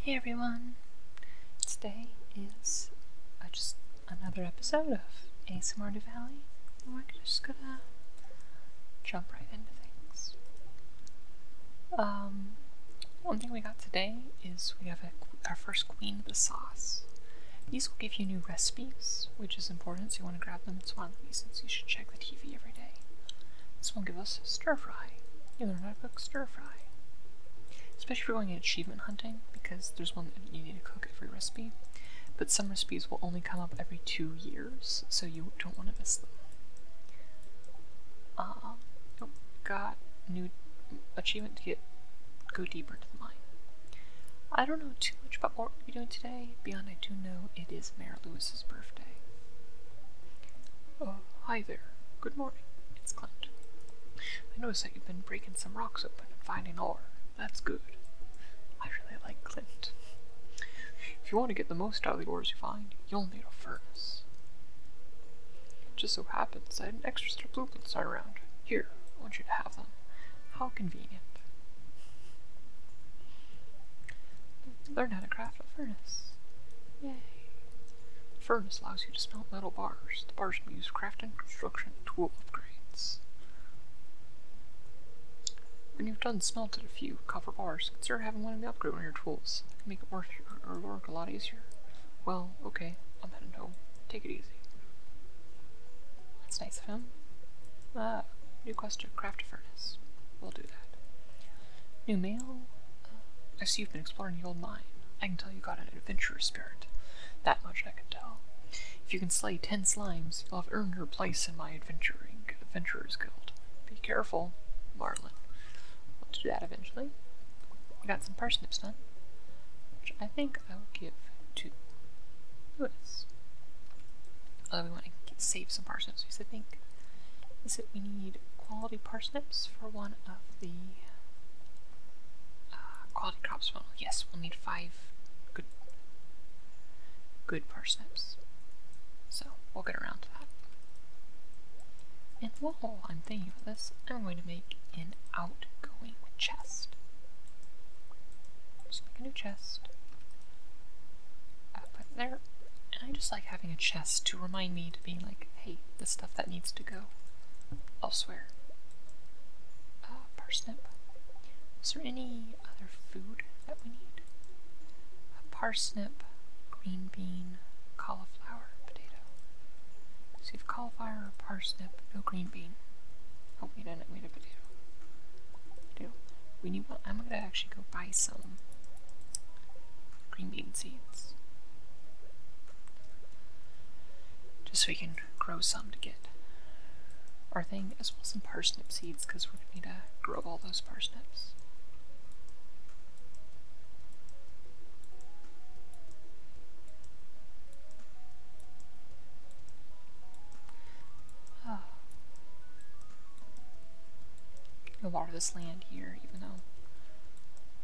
Hey everyone! Today is uh, just another episode of ASMR Valley. We're just gonna jump right into things. Um, one thing we got today is we have our first Queen of the Sauce. These will give you new recipes, which is important, so you want to grab them. as one of the reasons you should check the TV every day. This will give us stir fry. You learn how to cook stir fry. Especially if you're going achievement hunting, because there's one that you need to cook every recipe. But some recipes will only come up every two years, so you don't want to miss them. Um, got new achievement to get go deeper into the mine. I don't know too much about what we're doing today, beyond I do know it is Mayor Lewis' birthday. Oh, hi there. Good morning. It's Clint. I noticed that you've been breaking some rocks open and finding ore. That's good. I really like Clint. If you want to get the most out of the ores you find, you'll need a furnace. It just so happens I had an extra set of blueprints lying around. Here, I want you to have them. How convenient. Learn how to craft a furnace. Yay. The furnace allows you to smelt metal bars. The bars can be used for crafting, construction, and tool upgrades. When you've done smelted a few copper bars, consider having one of the upgrade on your tools. That can make it your, work a lot easier. Well, okay, I'm heading home. Take it easy. That's nice of him. Ah, new quest to craft a furnace. We'll do that. New mail? I see you've been exploring the old mine. I can tell you got an adventurous spirit. That much I can tell. If you can slay ten slimes, you'll have earned your place in my adventuring adventurers guild. Be careful, Marlin. We'll do that eventually. I got some parsnips done, which I think I will give to Lewis. Uh, we want to save some parsnips because I think is that we need quality parsnips for one of the uh, quality crops model. Yes, we'll need five good, good parsnips. So we'll get around to that. And while I'm thinking about this, I'm going to make an outgoing chest. Just make a new chest. Uh, put there. And I just like having a chest to remind me to be like, hey, the stuff that needs to go elsewhere. Uh, parsnip. Is there any other food that we need? parsnip, green bean, cauliflower, potato. So you have cauliflower or parsnip, no green bean. Oh, we didn't. need a potato. do. We need one. I'm gonna actually go buy some green bean seeds. Just so we can grow some to get our thing, as well as some parsnip seeds, because we're going to need to grow all those parsnips. Oh a lot of this land here, even though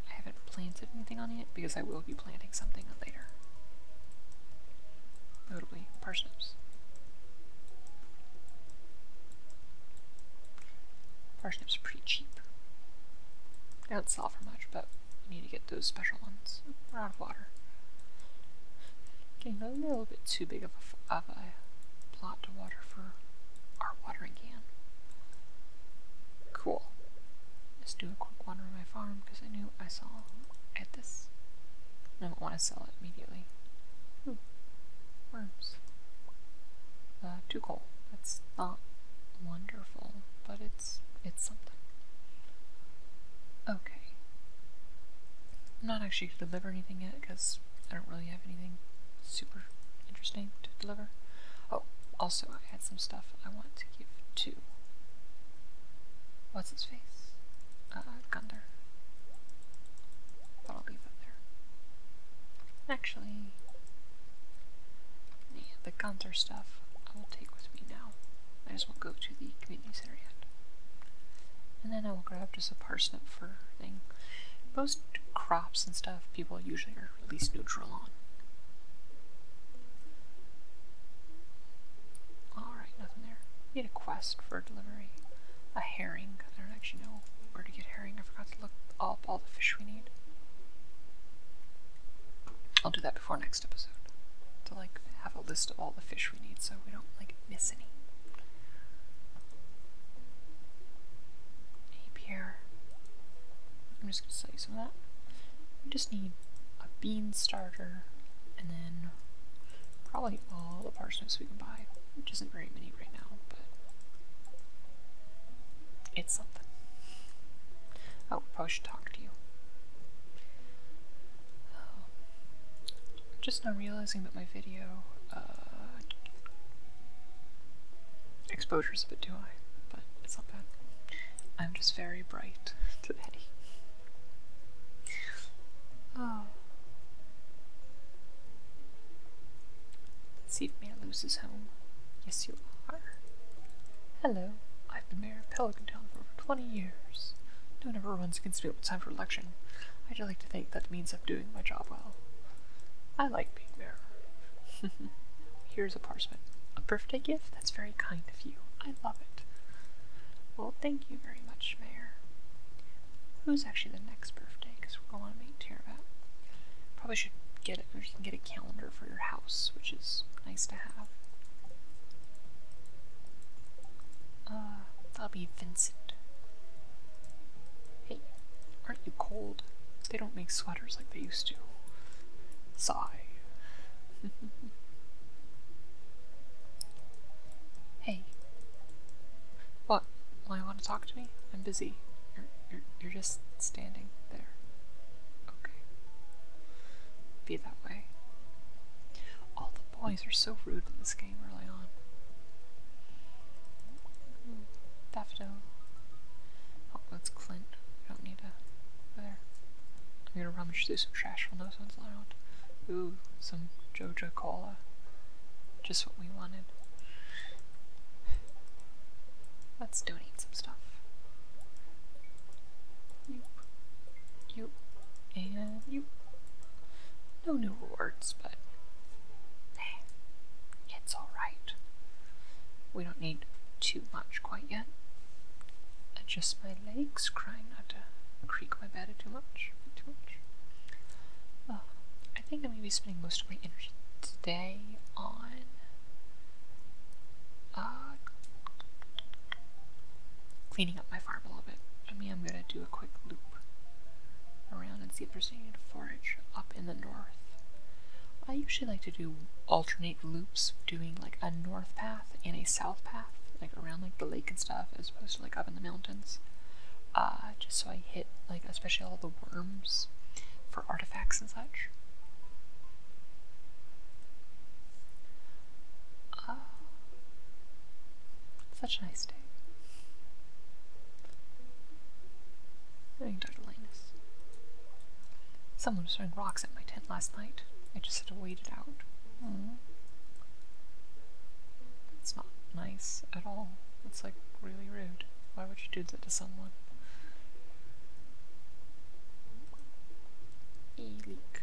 I haven't planted anything on it, because I will be planting something later. Notably, parsnips. Parsnips are pretty cheap. don't sell for much, but you need to get those special ones. we're out of water. Getting a little bit too big of a, of a plot to water for our watering can. Cool. Let's do a quick water on my farm because I knew I saw at this. I don't want to sell it immediately. Hmm. Worms. Uh, That's not wonderful, but it's it's something. Okay. I'm not actually deliver anything yet because I don't really have anything super interesting to deliver. Oh, also I had some stuff I want to give to. What's his face? Uh, Gunder. But will leave that there. Actually, the Gunther stuff I will take with me now. I just won't go to the community center yet. And then I will grab just a parsnip for thing. Most crops and stuff, people usually are at least neutral on. Alright, nothing there. Need a quest for delivery. A herring. I don't actually know where to get herring. I forgot to look up all the fish we need. I'll do that before next episode. To like have a list of all the fish we need so we don't like miss any. Apier. I'm just gonna sell you some of that. We just need a bean starter and then probably all the parsnips we can buy, which isn't very many right now, but it's something. Oh, probably should talk to you just not realizing that my video uh, exposure a bit do I? but it's not bad. I'm just very bright today. Oh. see if man loses home. Yes, you are. Hello. I've been mayor of Pelican Town for over 20 years. No one ever runs against me when time for election. I'd like to think that means I'm doing my job well. I like being there. Here's a parchment. A birthday gift? That's very kind of you. I love it. Well, thank you very much, Mayor. Who's actually the next birthday? we're going to make tear of Probably should get it, you can get a calendar for your house, which is nice to have. Uh, that'll be Vincent. Hey, aren't you cold? They don't make sweaters like they used to. Sigh. hey. What? Why you want to talk to me? I'm busy. You're, you're, you're just standing there. Okay. Be that way. All the boys are so rude in this game on. Daffodil. Oh, that's Clint. We don't need a. There. I'm gonna rummage through some trash while no one's around. Ooh, some JoJo Cola. Just what we wanted. Let's donate some stuff. You. You. And you. No new rewards, but it's alright. We don't need too much quite yet. Adjust my legs, trying not to creak my bed too much. Too much. Oh, I think I'm going to be spending most of my energy today on uh, cleaning up my farm a little bit. I mean, I'm going to do a quick loop around and see if there's forage up in the north. I usually like to do alternate loops, doing like a north path and a south path, like around like the lake and stuff, as opposed to like up in the mountains. Uh, just so I hit like especially all the worms for artifacts and such. Uh, such a nice day. Anecdotalinus. Someone was throwing rocks at my tent last night. I just had to wait it out. Mm-hmm. It's not nice at all. It's like really rude. Why would you do that to someone? Elik.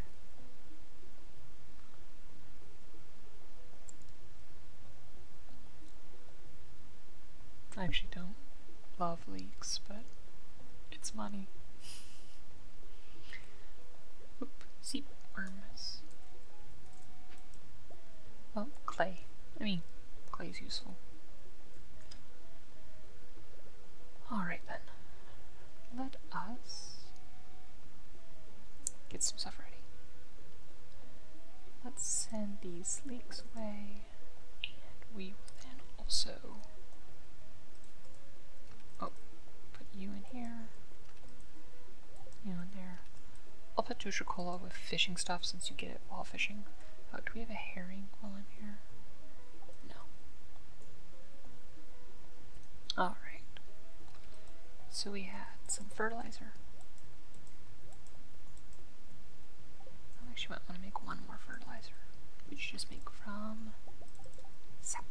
I actually don't love leaks, but it's money. Oop, seep worms. Well, clay. I mean, clay is useful. Alright then. Let us get some stuff ready. Let's send these leaks away, and we will then also oh, put you in here, you in there. I'll put Dutracola with fishing stuff since you get it while fishing. Oh, do we have a herring while I'm here? No. Alright. So we had some fertilizer. I actually might want to make one more fertilizer, which just make from sap.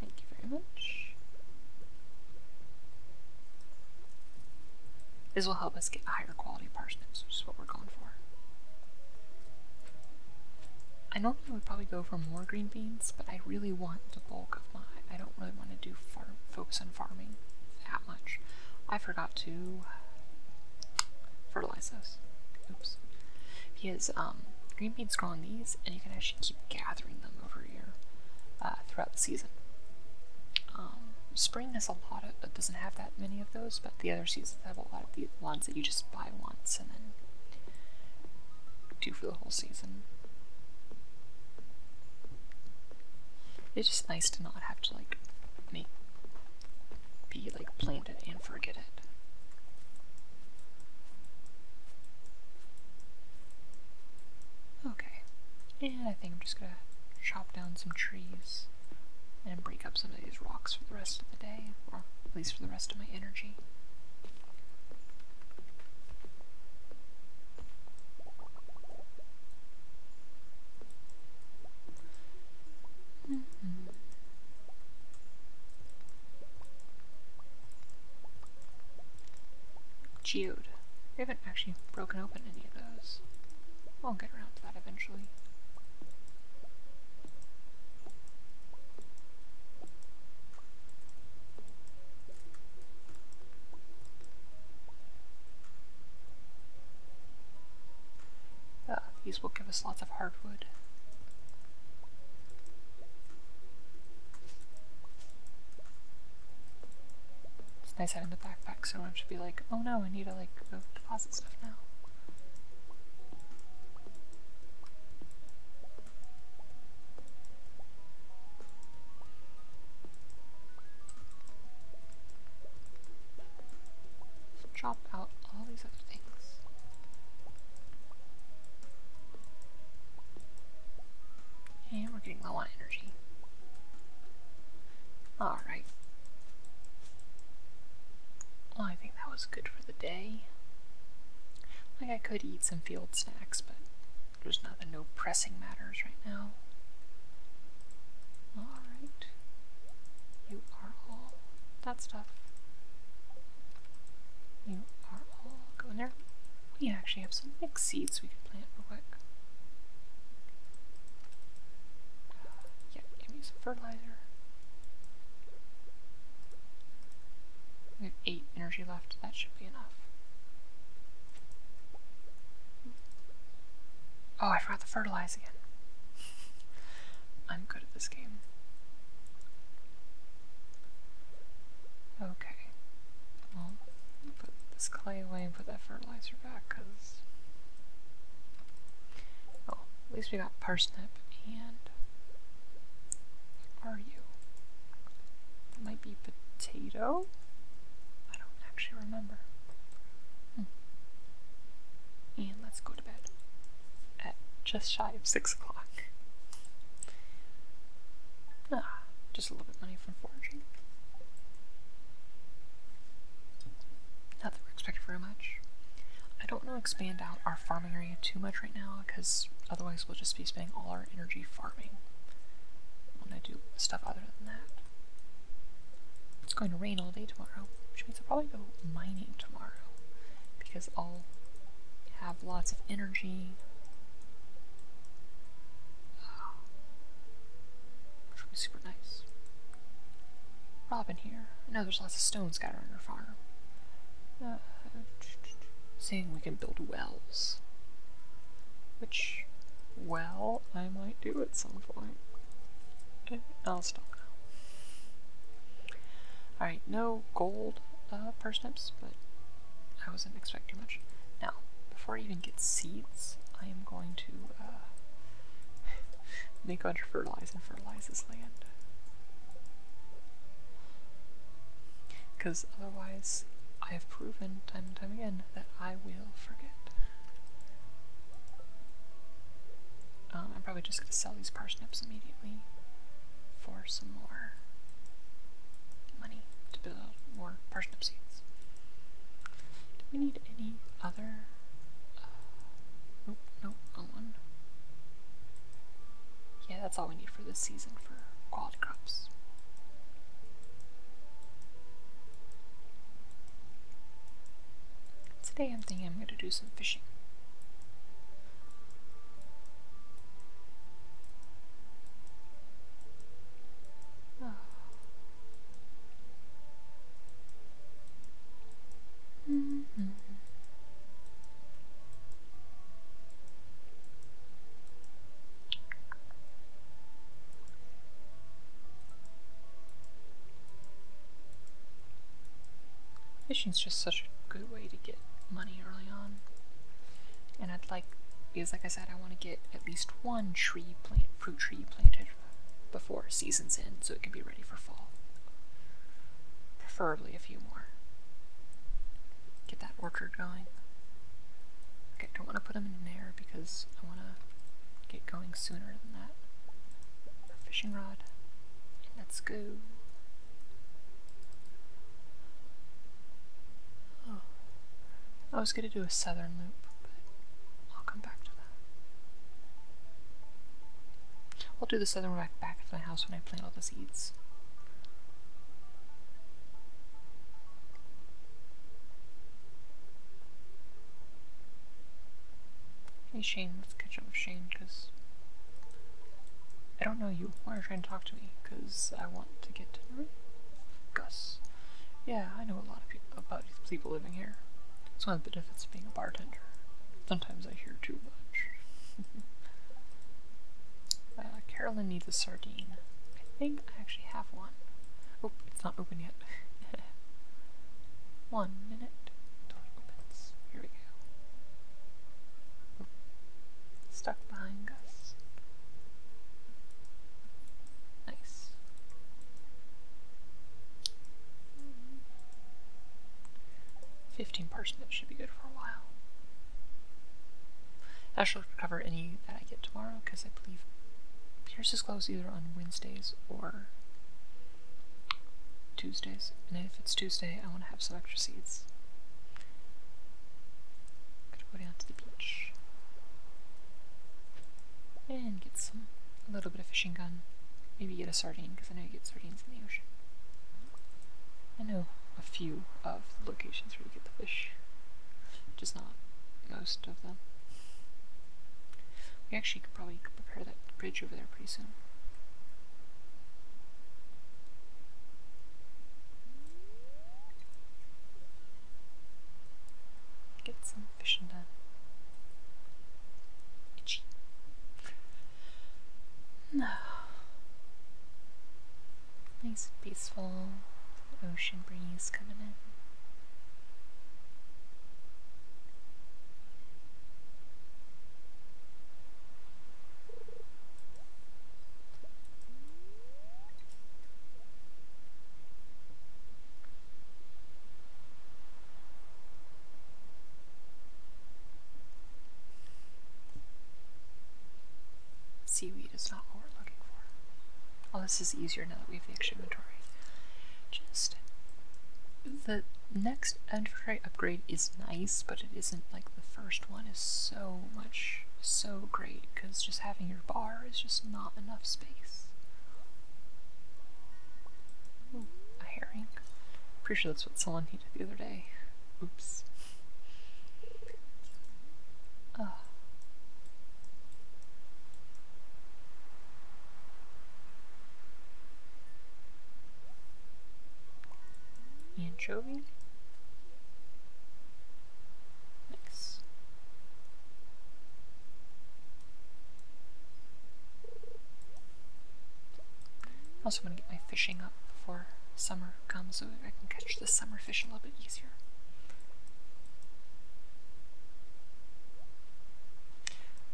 Thank you very much. This will help us get higher quality parsnips, which is what we're going for. I normally would probably go for more green beans, but I really want the bulk my, I don't really want to do farm, focus on farming that much. I forgot to fertilize those. Oops. Because um, green beans grow on these, and you can actually keep gathering them over here uh, throughout the season. Um, spring has a lot of, it doesn't have that many of those, but the other seasons have a lot of the ones that you just buy once and then do for the whole season. It's just nice to not have to like be like planned it and forget it. Okay, and I think I'm just gonna chop down some trees and break up some of these rocks for the rest of the day, or at least for the rest of my energy. Geode. We haven't actually broken open any of those. We'll get around to that eventually. Ah, these will give us lots of hardwood. It's nice having the backpack so I don't have to be like, oh no, I need to like go deposit stuff now chop out all these other things. And we're getting low on energy. Alright. I think that was good for the day. Like, I could eat some field snacks, but there's nothing, no pressing matters right now. Alright. You are all that stuff. You are all going there. We actually have some big seeds we could plant real quick. yeah, give me some fertilizer. We have 8 energy left, that should be enough. Oh, I forgot to fertilize again. I'm good at this game. Okay. Well, put this clay away and put that fertilizer back, because... Oh, at least we got parsnip and... Where are you? That might be potato? I don't actually remember. Hmm. And let's go to bed at just shy of 6 o'clock. Ah, just a little bit of money from foraging. Not we're very much. I don't want to expand out our farming area too much right now because otherwise we'll just be spending all our energy farming when I do stuff other than that. It's going to rain all day tomorrow, which means I'll probably go mining tomorrow because I'll have lots of energy. Ah. which will be super nice. Robin here. I know there's lots of stone scattered on your farm. Uh, Seeing we can build wells. Which, well, I might do at some point. I'll stop now. Alright, no gold uh, parsnips, but I wasn't expecting much. Now, before I even get seeds, I am going to uh, make sure fertilize and fertilize this land. Because otherwise, I have proven time and time again that I will um, I'm probably just gonna sell these parsnips immediately for some more money to build more parsnip seeds. Do we need any other? Uh, nope, nope, one. Yeah, that's all we need for this season for quality crops. Today I'm thinking I'm going to do some fishing. Fishing's just such a good way to get money early on. And I'd like, because like I said, I want to get at least one tree plant, fruit tree planted before season's end so it can be ready for fall. Preferably a few more. Get that orchard going. Okay, don't want to put them in an because I want to get going sooner than that. Fishing rod. let's go. Oh. I was going to do a southern loop, but I'll come back to that. I'll do the southern loop back at my house when I plant all the seeds. Hey Shane, let's catch up with Shane, because I don't know you. Why are you trying to talk to me? Because I want to get to know Gus. Yeah, I know a lot of people about people living here. It's one of the benefits of being a bartender. Sometimes I hear too much. Uh, Carolyn needs a sardine. I think actually have one. Oh, it's not open yet. one minute until Here we go. stuck behind us. Nice. Fifteen parsnips should be good for a while. Cover any that I get tomorrow because I believe Pierce is closed either on Wednesdays or Tuesdays. And if it's Tuesday, I want to have some extra seeds. Gotta go down to the beach and get some, a little bit of fishing gun. Maybe get a sardine because I know you get sardines in the ocean. I know a few of the locations where you get the fish. Just not most of them. We actually could probably prepare that bridge over there pretty soon. Get some fishing done. Itchy. No. Nice, peaceful ocean breeze coming in. Seaweed is not what we're looking for. Oh, this is easier now that we have the extra inventory. Just the next inventory upgrade is nice, but it isn't like the first one is so much so great because just having your bar is just not enough space. a herring. Pretty sure that's what someone did the other day. Oops. Uh, Anchovy. Nice. Also want to get my fishing up before summer comes so I can catch the summer fishing a little bit easier.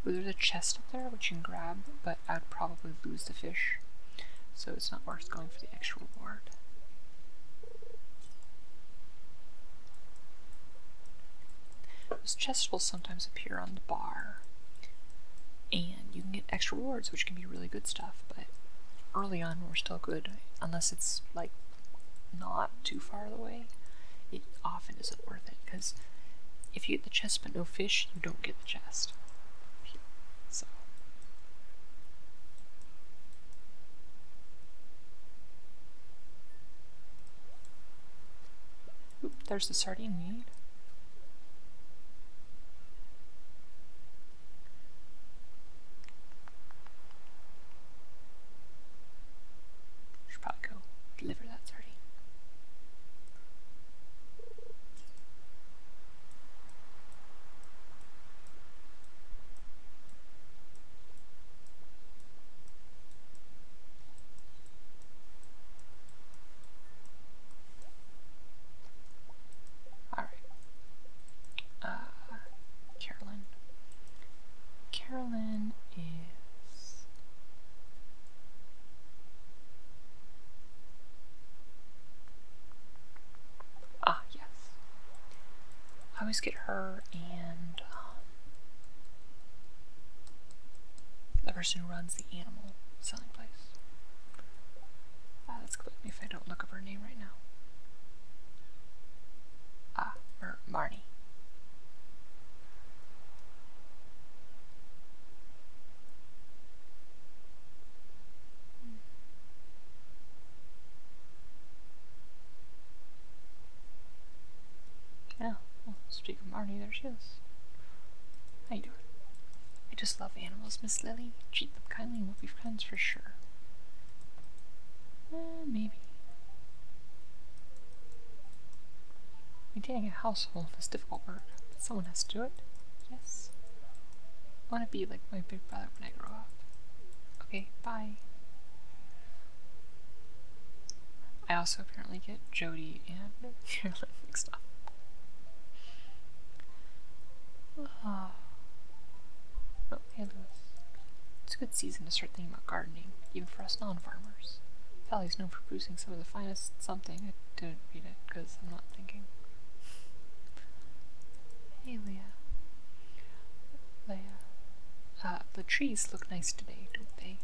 There's a chest up there which you can grab, but I'd probably lose the fish, so it's not worth going for the extra reward. Those chests will sometimes appear on the bar, and you can get extra rewards, which can be really good stuff, but early on we're still good, unless it's like not too far away, it often isn't worth it because if you get the chest but no fish, you don't get the chest. So. there's the sardine need. Should go deliver that sardine. All right. Uh, Carolyn, Carolyn is ah yes. I always get her and um, the person who runs the animal selling place. Uh, that's clipped me if I don't look up her name right now. Ah, Mar attorney. Yeah, well, speaking of Marty, there she is. How you doing? I just love animals, Miss Lily. Treat them kindly and we'll be friends for sure. Uh, maybe. Maintaining a household is difficult work, but someone has to do it. Yes. I want to be like my big brother when I grow up. Okay, bye. I also apparently get Jody and Carolyn mixed up. Ah hey Lewis. It's a good season to start thinking about gardening, even for us non-farmers. Valley's known for producing some of the finest something. I didn't read it because I'm not thinking. Hey Leah. Leah. Uh, the trees look nice today, don't they?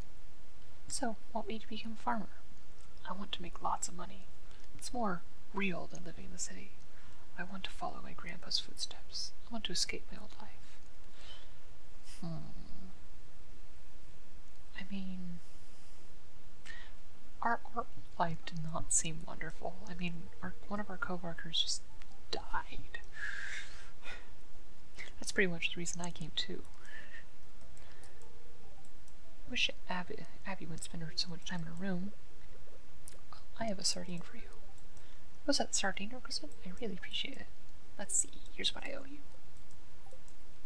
So, want me to become a farmer? I want to make lots of money. It's more real than living in the city. I want to follow my grandpa's footsteps. I want to escape my old life. Hmm. I mean, our art life did not seem wonderful. I mean, our, one of our coworkers just died. That's pretty much the reason I came too. I wish Abby, Abby wouldn't spend so much time in her room. I have a sardine for you. Was that sardine or requested? I really appreciate it. Let's see, here's what I owe you.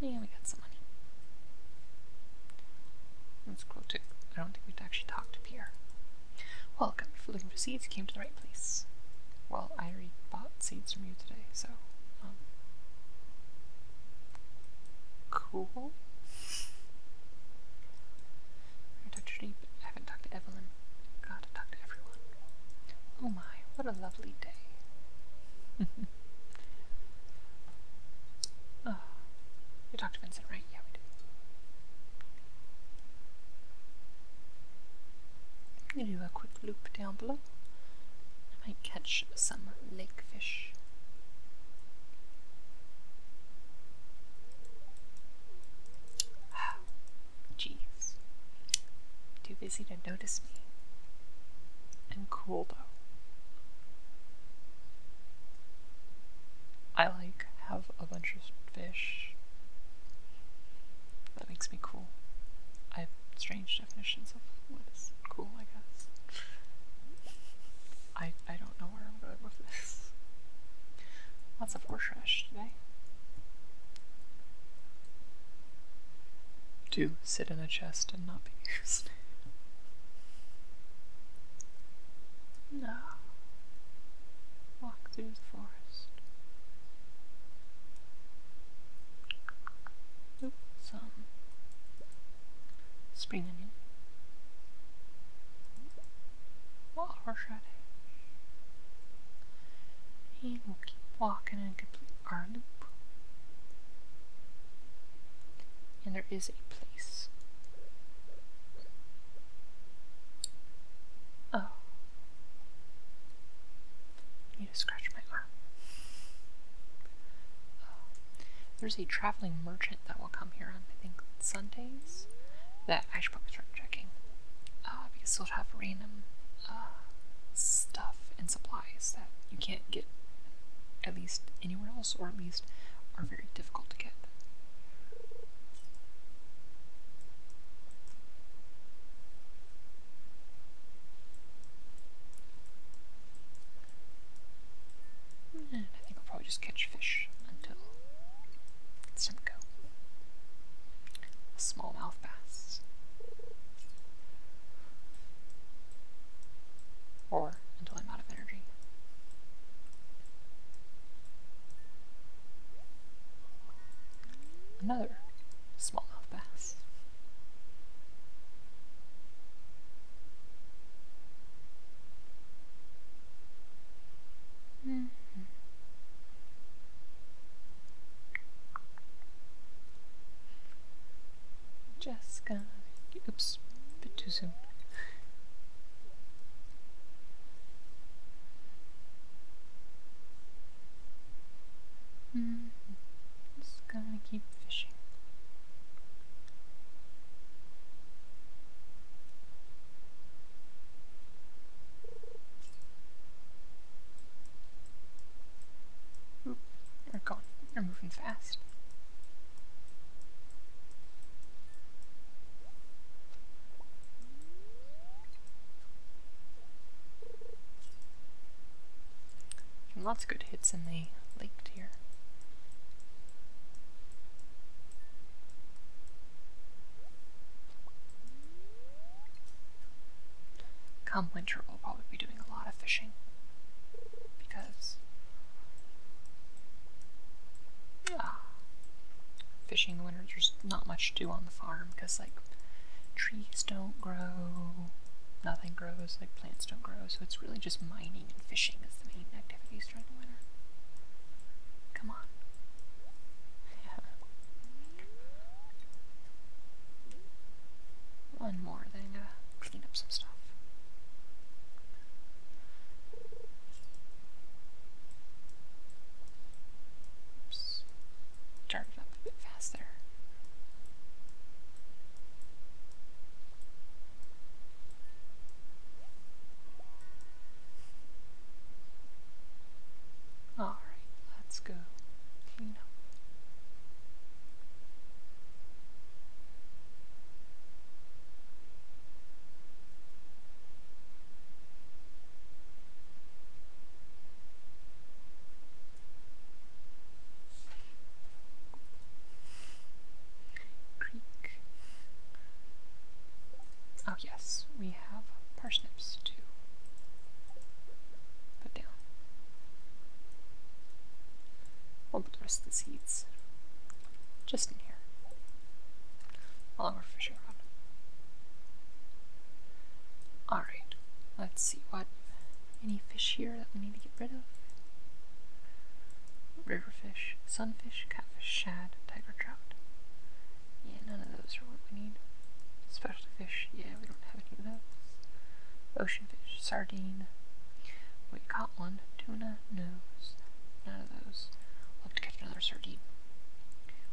Yeah, we got some money. That's cool too. I don't think we've actually talked to Pierre. Welcome, if you're looking for seeds, you came to the right place. Well, I already bought seeds from you today, so, um, cool. I talked Deep, I haven't talked to Evelyn. Gotta talk to everyone. Oh my, what a lovely day. oh, you talked to Vincent, right? Yeah, we did. I'm gonna do a quick loop down below. I might catch some lake fish. Ah. Jeez. Too busy to notice me. I'm cool though. I like have a bunch of fish. That makes me cool. I have strange definitions of what is cool, I guess. I I don't know where I'm going with this. Lots of horse trash today. Do sit in a chest and not be used. no. Walk through the forest. Oop, some spring onion. Well, horseradish. And will keep walking and our loop. And there is a place. Oh. need to scratch my arm. Oh. There's a traveling merchant that will come here on, I think, Sundays that I should probably start checking uh, because they'll have random uh, stuff and supplies that you can't get at least anywhere else, or at least are very difficult to get. And I think I'll probably just catch fish until Simcoe. A smallmouth bass. Or until I'm out of energy. Another smallmouth bass. -hmm. Just gonna. Oops, bit too soon. -hmm. Just gonna keep fishing. Oop, they're gone. They're moving fast. lots of good hits in the lake here. Come winter, we'll probably be doing a lot of fishing because uh, fishing in the winter there's not much to do on the farm because like trees don't grow, nothing grows, like plants don't grow, so it's really just mining and fishing is the main activities during the winter. Come on. One more, then I'm gonna clean up some stuff. Oops. Started up a bit fast Alright, let's go clean up. Oh yes, we we have parsnips to put down. We'll put the rest of the seeds just in here, along our fishing rod. Alright, let's see what any fish here that we need to get rid of. River fish, sunfish, catfish, shad, tiger trout. Yeah, none of those are what we need. Specialty fish, yeah, we don't have any of those. Ocean fish, sardine. We caught one. Tuna, no. None of those. we to catch another sardine.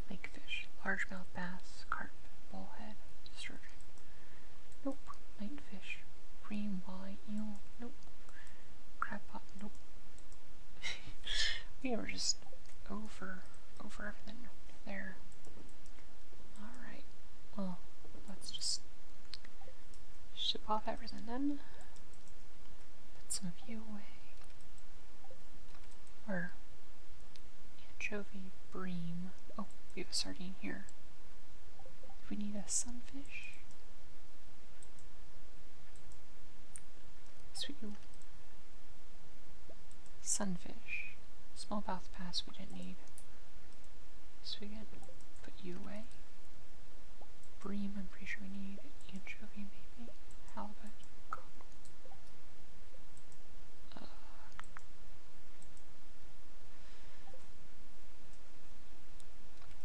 Lake fish, Large mouth bass, carp, bullhead, sturgeon. Nope. Light fish, cream, wine, eel, nope. Crab nope. we were just over, over for everything there. Alright, well, let's just ship off everything then. Put some of you away. Or anchovy bream. Oh, we have a sardine here. Do we need a sunfish. Sweet Sunfish. Small mouth pass we didn't need. So we Swigan, put you away. Bream, I'm pretty sure we need. Anchovy, maybe. Halibut. Uh,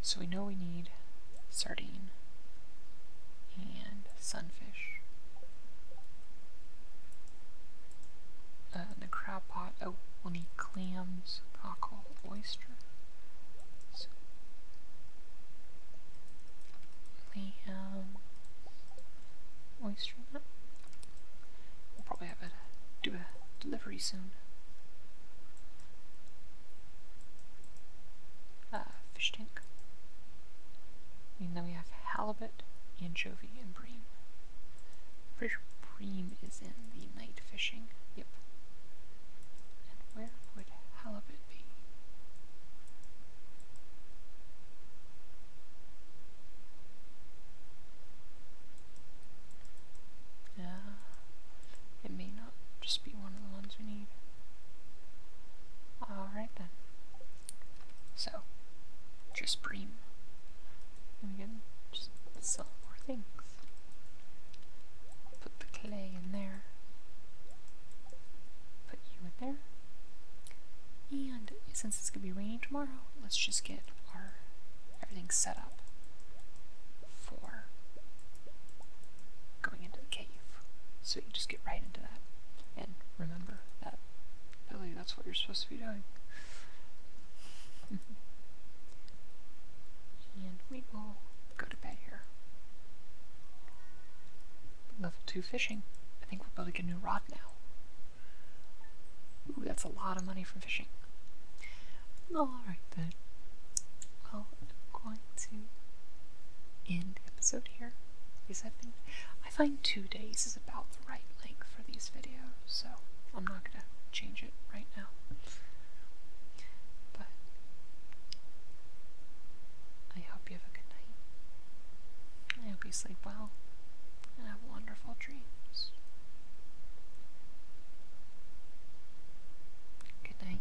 so we know we need sardine and sunfish. Uh, a crab pot. Oh, we clams. need clams, cockle, oyster. So, clam, oyster. We'll probably have a do a delivery soon. Uh, fish tank. And then we have halibut, anchovy, and bream. Pretty bream is in the night fishing. Yep. And where would halibut be? Yeah. Uh, it may not just be one of the ones we need. Alright then. So, just bream. And again, just sell more things. Put the clay in there. Put you in there. And since it's gonna be raining tomorrow, let's just get our everything set up for going into the cave. So you just get right into that. And remember that that's what you're supposed to be doing. and we will go to bed here. Level 2 fishing. I think we're building a new rod now. Ooh, that's a lot of money from fishing. Alright then. I'm going to end episode here. Because I've been, I find two days is about the right length for these videos, so I'm not gonna change it right now. But I hope you have a good night. I hope you sleep well and have wonderful dreams. Good night.